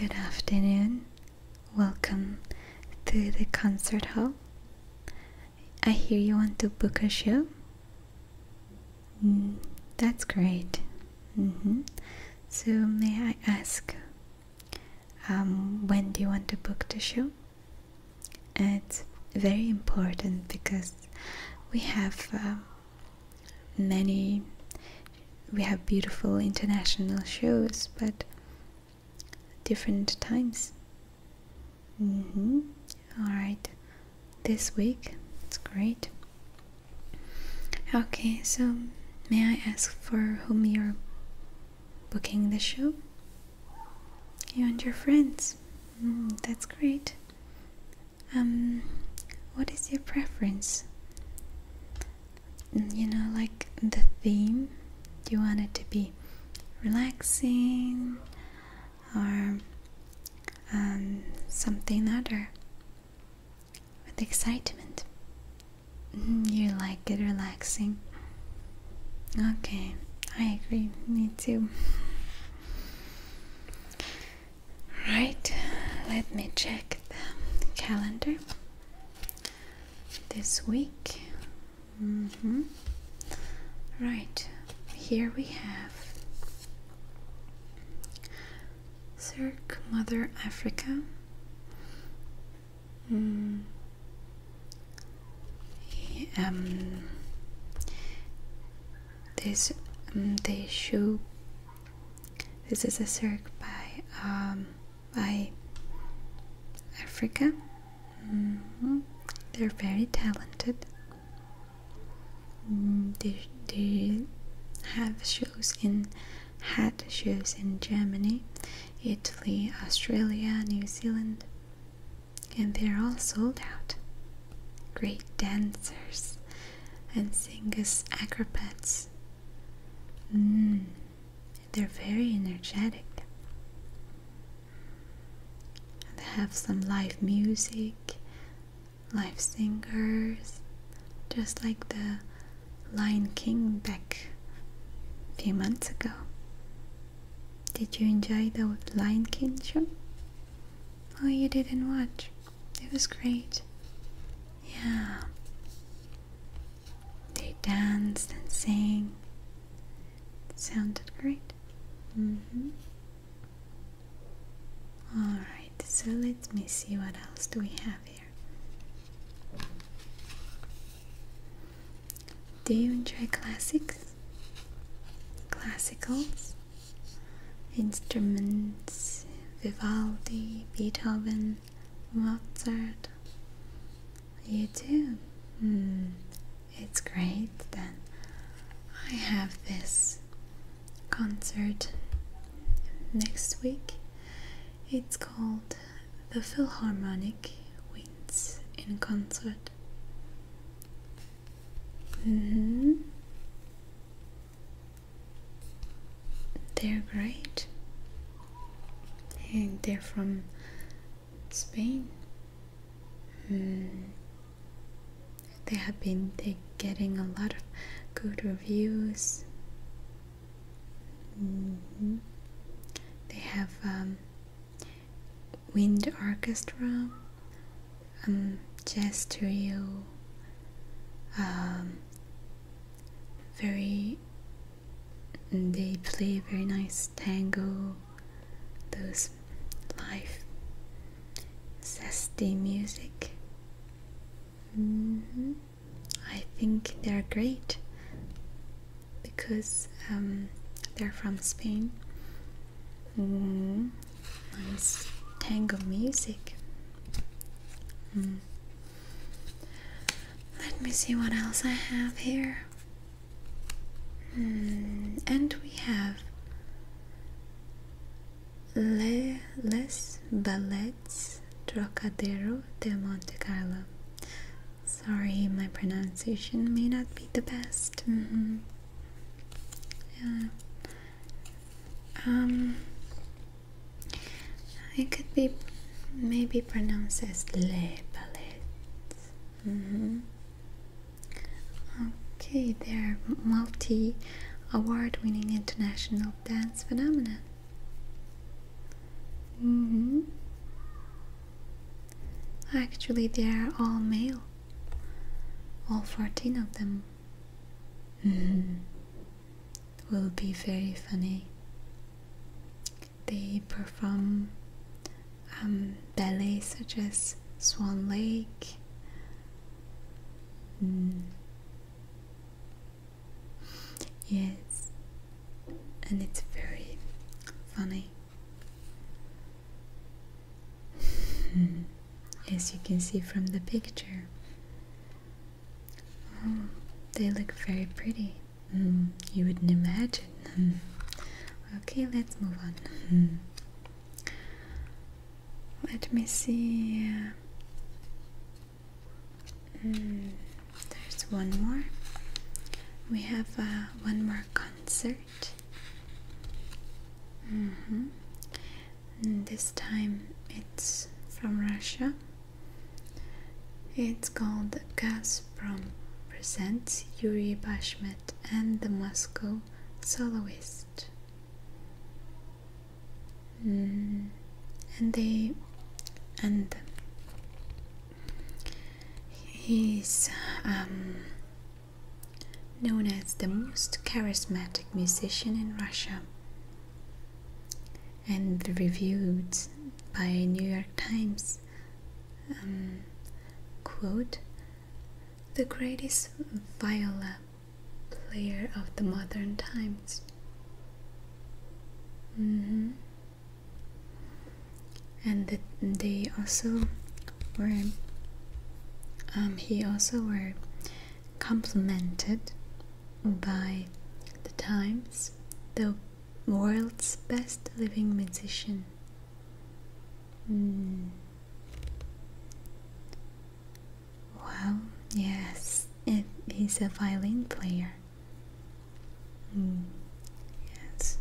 Good afternoon. Welcome to the concert hall. I hear you want to book a show. Mm, that's great. Mm-hmm. So, may I ask, um, when do you want to book the show? It's very important because we have uh, many we have beautiful international shows but different times mm hmm all right this week it's great okay so may i ask for whom you're booking the show you and your friends mm, that's great um, what is your preference? Mm, you know, like the theme? Do you want it to be relaxing or um, something other with excitement? Mm, you like it relaxing. Okay, I agree, me too. Right, let me check the calendar this week. Mm Right, here we have Cirque Mother Africa. Mm. Um, this um, they show this is a cirque by um, by Africa. Mm-hmm. They're very talented. Mm, they they have shows in had shows in Germany, Italy, Australia, New Zealand, and they're all sold out. Great dancers and sing as acrobats. Mm, they're very energetic. They have some live music, live singers, just like the Lion King back a few months ago. Did you enjoy the Lion King show? Oh, you didn't watch. It was great. Yeah. They danced and sang. sounded great. Mm hmm. Alright, so let me see what else do we have here. Do you enjoy classics? Classicals? instruments Vivaldi, Beethoven, Mozart. You too. Hmm, it's great then. I have this concert next week. It's called The Philharmonic Winds in Concert. Mm -hmm. They're great, and they're from Spain. Mm. They have been getting a lot of good reviews. Mm -hmm. They have um, wind orchestra. I'm um, gestural, um, very, they play very nice tango, those live, zesty music. Mm-hmm. I think they're great because um, they're from Spain. Mm-hmm. Nice tango music. Hmm. Let me see what else I have here. Hmm, and we have Le Les Ballets Trocadero de Monte Carlo. Sorry, my pronunciation may not be the best. Mm-hmm. Yeah. Um. It could be maybe pronounced as le palette. Mm -hmm. Okay, they're multi award winning international dance phenomenon. Mm -hmm. Actually, they are all male all 14 of them will be very funny. They perform um, ballets such as Swan Lake. Hmm. Yes, and it's very funny. As hmm. you can see from the picture. Oh, they look very pretty. Hmm, you wouldn't imagine. Hmm. Okay, let's move on. Let me see. there's one more. We have uh, one more concert. Mm -hmm. this time it's from Russia. It's called Gasprom Presents Yuri Bashmet and the Moscow Soloist. Mm. And they and He's um, known as the most charismatic musician in Russia and reviewed by New York Times um, quote the greatest viola player of the modern times. Mm-hmm and they also were um, he also were complimented by the times the world's best living musician hmm. wow yes it, he's a violin player Yes.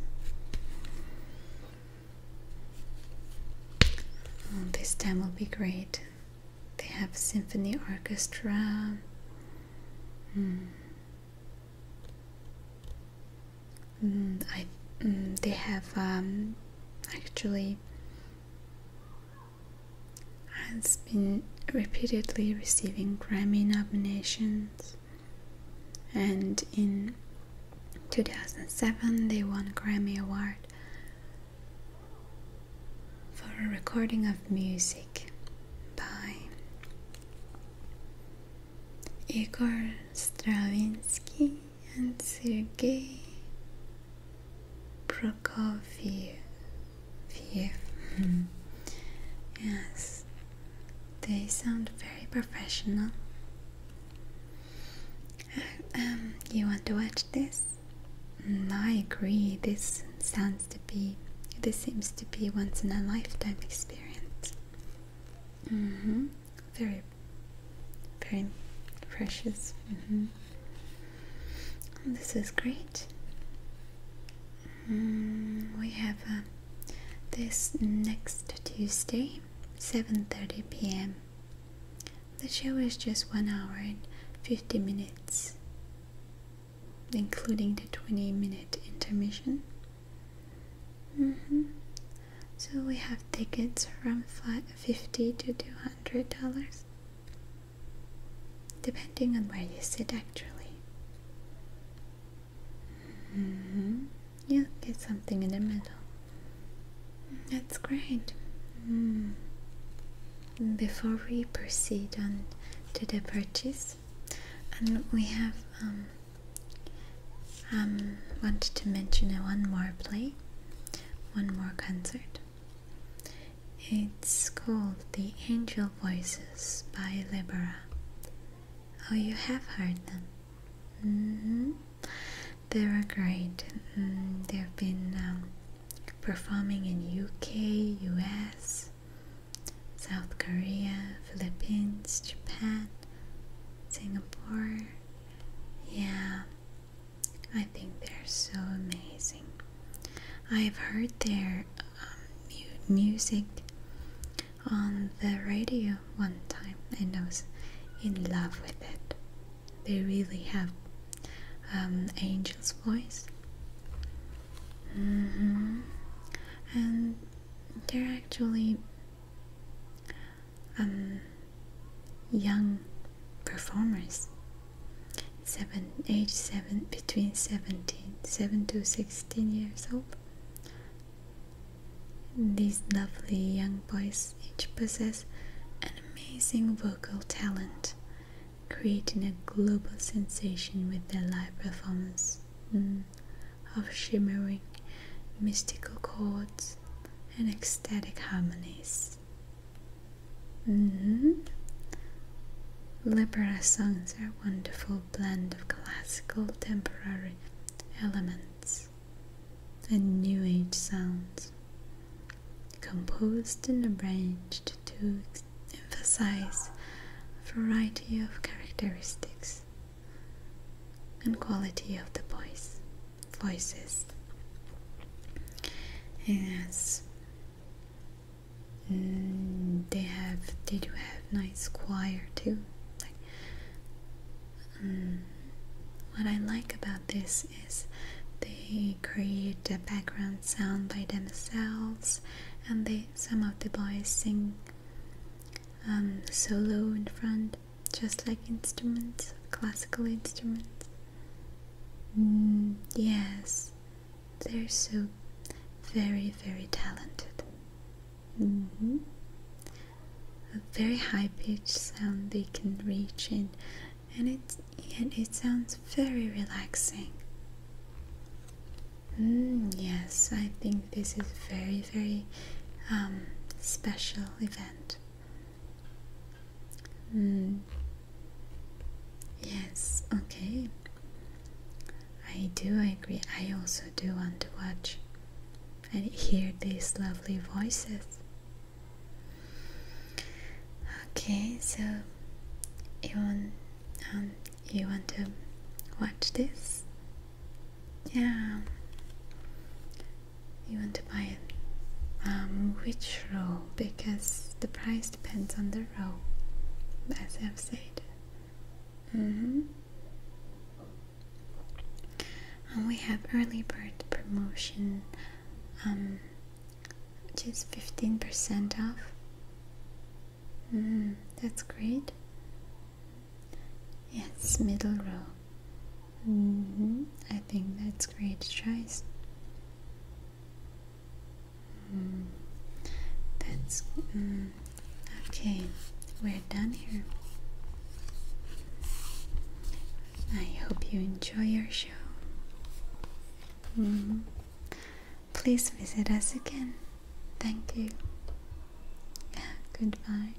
this time will be great. They have symphony orchestra. Mm. Mm, I, mm, they have um, actually has been repeatedly receiving Grammy nominations and in 2007 they won a Grammy Award for a recording of music by Igor Stravinsky and Sergei Prokofiev. Mm-hmm. Yes, they sound very professional. Um, you want to watch this? Mm, I agree. This sounds to be. This seems to be once in a lifetime experience. Mm hmm. Very, very precious. Mm hmm. This is great. Mm, we have a um, this next Tuesday, 7:30 p.m. The show is just 1 hour and 50 minutes, including the 20 minute intermission. Mm-hmm. So we have tickets from 50 to 200 dollars depending on where you sit actually Mm Yeah, get something in the middle. That's great. Mm. Before we proceed on to the purchase, we have um, um, wanted to mention one more play, one more concert. It's called the Angel Voices by Libera. Oh, you have heard them. Mm-hmm. They were great. Mm, they've been um, performing in UK, US, South Korea, Philippines, Japan, Singapore. Yeah, I think they're so amazing. I've heard their um, music on the radio one time and I was in love with it. They really have um, angel's voice. Mm-hmm. And they're actually um, young performers seven, age seven, between 17, 7 to 16 years old. These lovely young boys each possess an amazing vocal talent, creating a global sensation with their live performance mm, of shimmering, mystical chords and ecstatic harmonies. Mm mm-hmm. songs are a wonderful blend of classical temporary elements and New Age sounds, composed and arranged to emphasize a variety of characteristics and quality of the voice, voices. Yes, they have they do have nice choir too. Like, mm, what I like about this is they create the background sound by themselves, and they some of the boys sing um, solo in front, just like instruments, classical instruments. Mm, yes, they're so very, very talented. Mm-hmm. A very high-pitched sound they can reach in, and it and it sounds very relaxing. Mm, yes, I think this is very, very um, special event. Mm. Yes, okay. I do agree. I also do want to watch and hear these lovely voices. Okay, so you want um, you want to watch this? Yeah. You want to buy a um, witch roll because the price depends on the row, as I've said. Mm-hmm. And we have early bird promotion, um, which is 15% off. Mm-hmm. that's great. Yes, middle row. Mm-hmm. I think that's great choice. That's mm, okay. We're done here. I hope you enjoy your show. Mm-hmm. Please visit us again. Thank you. Goodbye.